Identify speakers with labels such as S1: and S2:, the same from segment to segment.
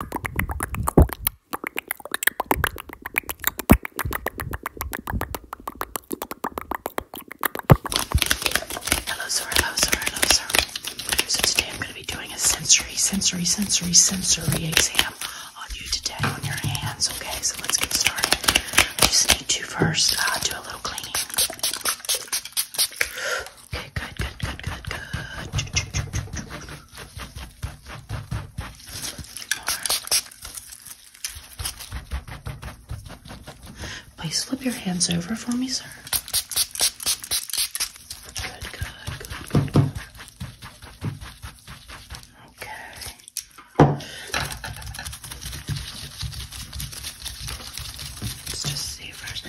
S1: Hello, sir. Hello, sir. Hello, sir. So today I'm going to be doing a sensory, sensory, sensory, sensory exam on you today on your hands. Okay, so let's get started. I just need to first uh, do a little cleaning. Okay, good, good, good, good, good. Please slip your hands over for me, sir. good, good, good. Okay. Let's just see first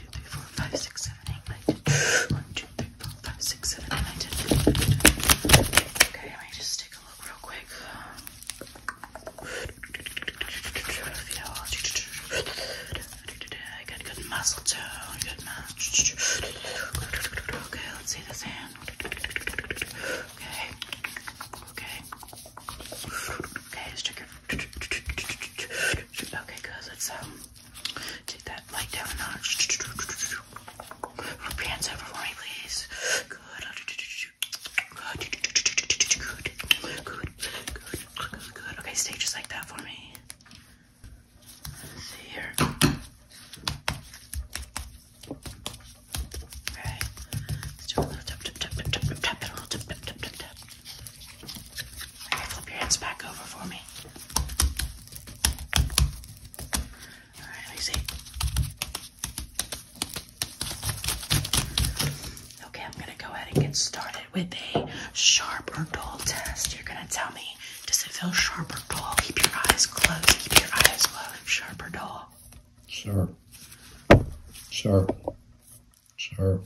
S1: two, three, four, five, six, seven, eight, nine, ten. One, two, three, four, five, six, seven, eight, nine, ten. Okay, let me just take a look real quick. I got good muscle tone, good match. Okay, let's see this hand. Okay. Okay. Okay, let's check your. Okay, good. Let's um take that light down a notch. hands over for me, please. Good. Good. Good. Good. Good. Good. Okay, stay just like that for me. see here. Okay. Okay, flip your hands back over for me. All right, let Okay, I'm gonna go ahead and get started with a sharp or dull test. You're gonna tell me, does it feel sharp or dull? Keep your eyes closed. Keep your eyes closed. Sharp or dull? Sharp. Sharp. Sharp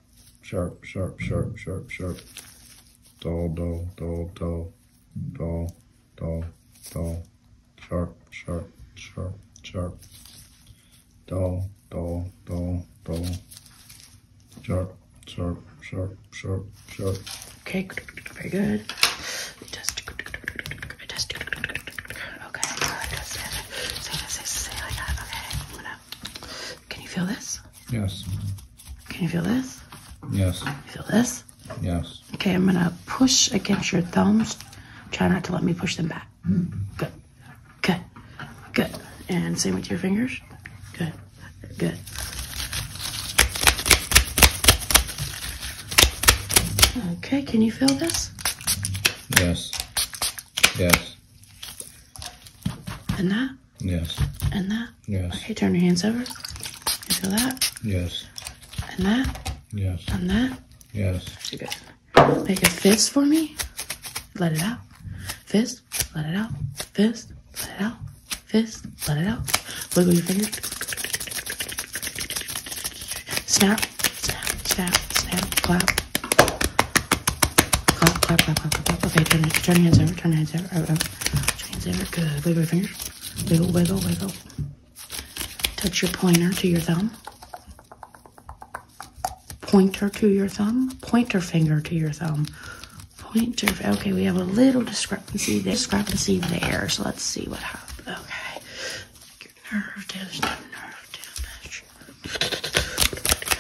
S1: sharp, sharp, sharp, sharp, sharp. Dull, dull, dull, dull, dull, dull, dull, sharp, sharp, sharp, sharp. Dull, dull, dull, dull, sharp, sharp, sharp, sharp, sharp. Okay, very good. Just, just, okay, good. Say, say, say, say like that. Okay, I'm gonna can you feel this? Yes. Can you feel this? Yes. feel this? Yes. Okay, I'm gonna push against your thumbs. Try not to let me push them back. Good. Good. Good. And same with your fingers. Good. Good. Okay, can you feel this? Yes. Yes. And that? Yes. And that? Yes. Okay, turn your hands over. You feel that? Yes. And that? Yes. And that? Yes. That's good. Make a fist for me. Let it out. Fist, let it out. Fist, let it out. Fist, let it out. Wiggle your fingers. Snap, snap, snap, snap, clap, Clap, clap, clap, clap, clap, clap. Okay, turn, turn hands over, turn hands over, over, turn hands over. Good. Wiggle your Wiggle, wiggle, wiggle. Touch your pointer to your thumb. Pointer to your thumb. Pointer finger to your thumb. Pointer. Okay, we have a little discrepancy there. Discrepancy there. So let's see what happens. Okay.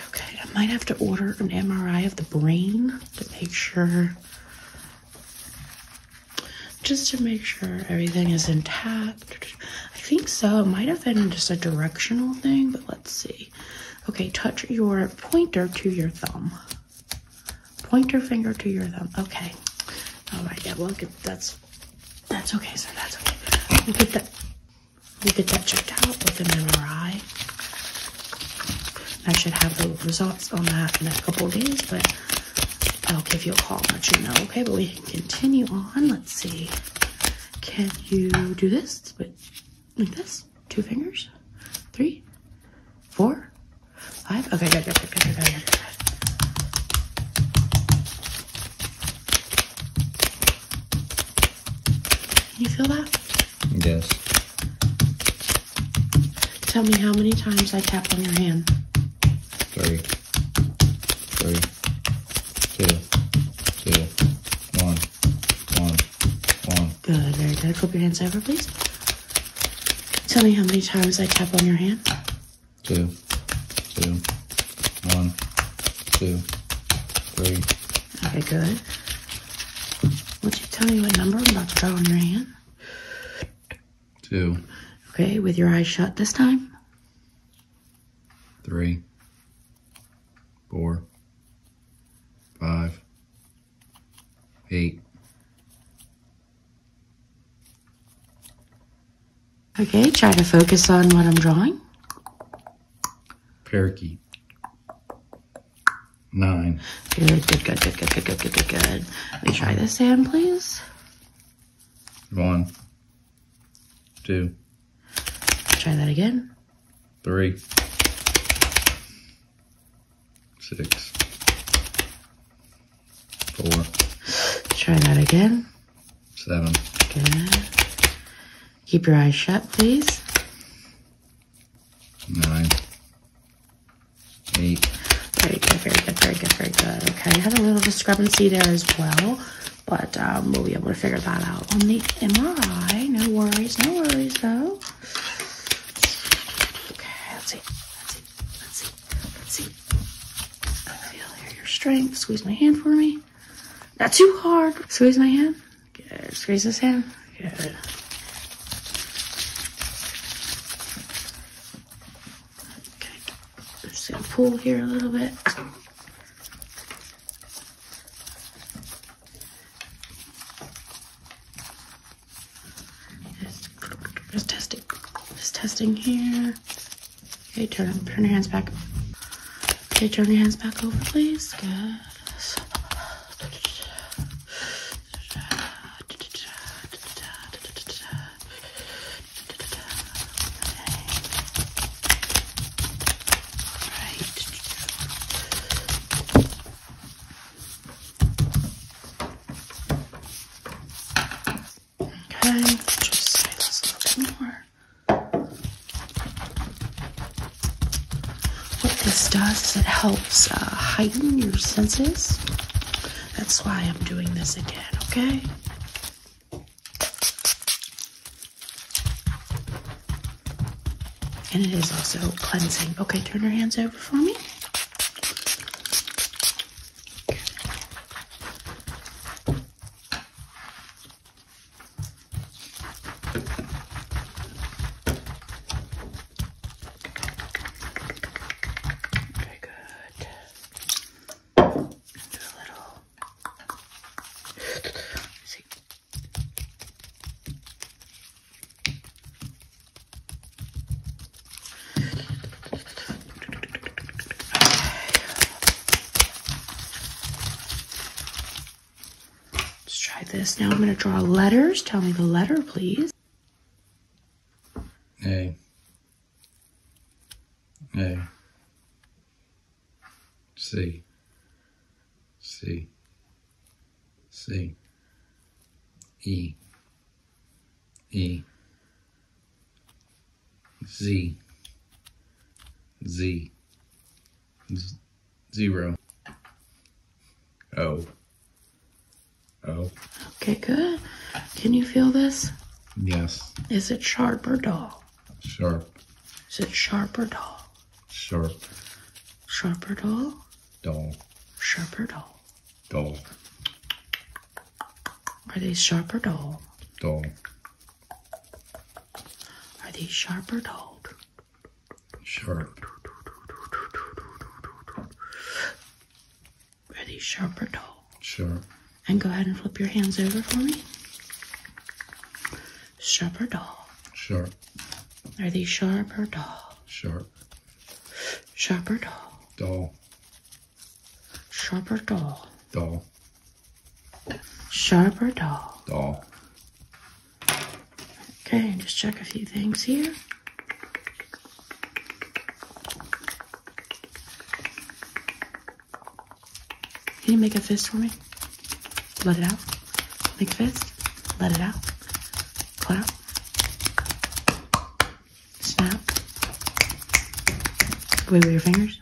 S1: Okay, I might have to order an MRI of the brain to make sure, just to make sure everything is intact. I think so. It might have been just a directional thing, but let's see. Okay, touch your pointer to your thumb. Pointer finger to your thumb. Okay. All right. Yeah. Well, get, that's that's okay. So that's okay. We'll that we get that checked out with an MRI. I should have the results on that in a couple days, but I'll give you a call and let you know. Okay, but we can continue on. Let's see. Can you do this? with like this? Two fingers? three, four, five. Okay, good, good, good, good, good, good, good. good. You feel that? Yes. Tell me how many times I tap on your hand. Three. Three. Two. Two. One. One. One. Good. Very good. Flip your hands over, please. Tell me how many times I tap on your hand. Two, two, one, two, three. Okay, good. Would you tell me what number I'm about to draw on your hand? Two. Okay, with your eyes shut this time? Three. Four. Five. Eight. Okay, try to focus on what I'm drawing. Parakeet. Nine. Good, good, good, good, good, good, good, good, good, good. Let me try this hand, please. One. Two. Try that again. Three. Six. Four. Try that again. Seven. Good. Keep your eyes shut, please. Nine. Eight. Very good, very good, very good, very good. Okay, had a little discrepancy there as well, but um, we'll be able to figure that out on the MRI. No worries, no worries, though. Okay, let's see, let's see, let's see, let's see. I feel here your strength. Squeeze my hand for me. Not too hard. Squeeze my hand. Squeeze this hand. Okay. just gonna pull here a little bit. Just testing. Just testing here. Okay, turn, turn your hands back. Okay, turn your hands back over, please. Good. Okay, just a little bit more. What this does is it helps uh, heighten your senses. That's why I'm doing this again, okay? And it is also cleansing. Okay, turn your hands over for me. Very good. And do a little. Let's see. Okay. Let's try this. Now I'm going to draw letters. Tell me the letter, please. A. A. C. C. C. E. E. Z, Z, zero, O, O. Okay, good. Can you feel this? Yes. Is it sharp or dull? Sharp. Is it sharp or dull? Sharp. Sharp or dull? Dull. Sharper dull? Dull. Are they sharp or dull? Dull. Are these sharp or cold? Sharp. Are these sharp or dull? Sharp. And go ahead and flip your hands over for me. Sharp or dull? Sharp. Are these sharp or dull? Sharp. Sharp or dull? Dull. Sharp or Dull. Sharper doll. Doll. Okay, just check a few things here. Can you make a fist for me? Let it out. Make a fist. Let it out. Clap. Snap. with your fingers.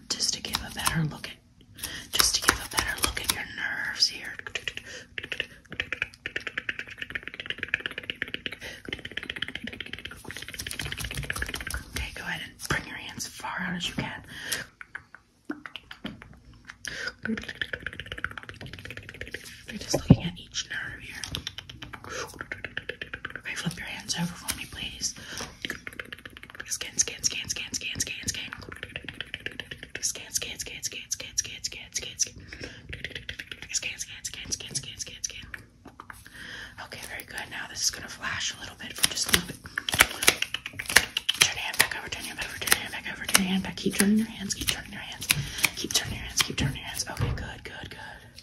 S1: just to give a better look at just to give a better look at your nerves here. Okay, go ahead and bring your hands far out as you can. We're just looking at each nerve here. Okay, flip your hands over for me, please. Scan, scan, scan, scan, scan, scan, scan. Scan, scan, scan, scan, scan, scan, scan, scan, scan. Scan, scan, scan, scan, scan, scan, scan. Okay, very good. Now this is gonna flash a little bit for just a little bit. Turn your hand back over, turn your hand over, turn your hand back over, turn your hand back. Keep turning your hands, keep turning your hands, keep turning your hands, keep turning your hands. Okay, good, good, good.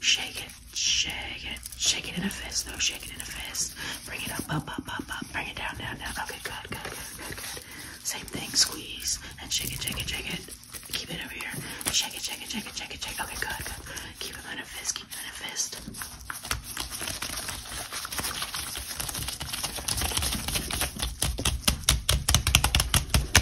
S1: Shake it, shake it, shake it in a fist, though. Shake it in a fist. Bring it up, up, up, up, up. Bring it down, down, down. Okay, good, good, good, good, good. Same thing. Squeeze and shake it, shake it, shake it. Keep it over here. Shake it, shake it, shake it, shake it, shake it. Okay, good, good. Keep it in a fist, keep it in a fist.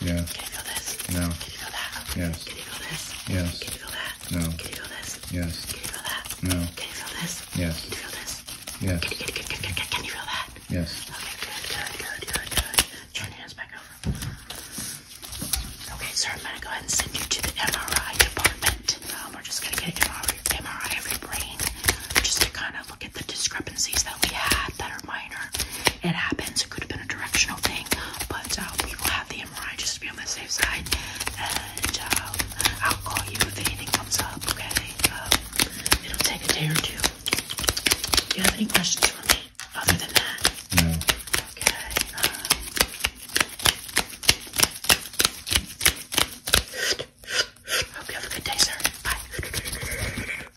S1: Yeah. Can you feel this? No. Can you feel that? Yes. Can you feel this? Yes. Can you feel that? No. Can you feel this? Yes. Can you feel that? No. Can you feel this? Yes. Can you feel this? Yes. Can, can, can, can, can you feel that? Yes. Okay, good, good, good, good, good. Turn your hands back over. Okay, sir, I'm going to go ahead and send you to the MRI department. Um, we're just going to get an MRI, MRI of your brain just to kind of look at the discrepancies that we had that are minor. It happens. It could have been a directional thing, but uh, we will have the MRI just to be on the safe side. And um, I'll call you if anything comes up. Okay, um, it'll take a day or two. Do you have any questions for me other than that? No. Okay. Um, hope you have a good day, Bye.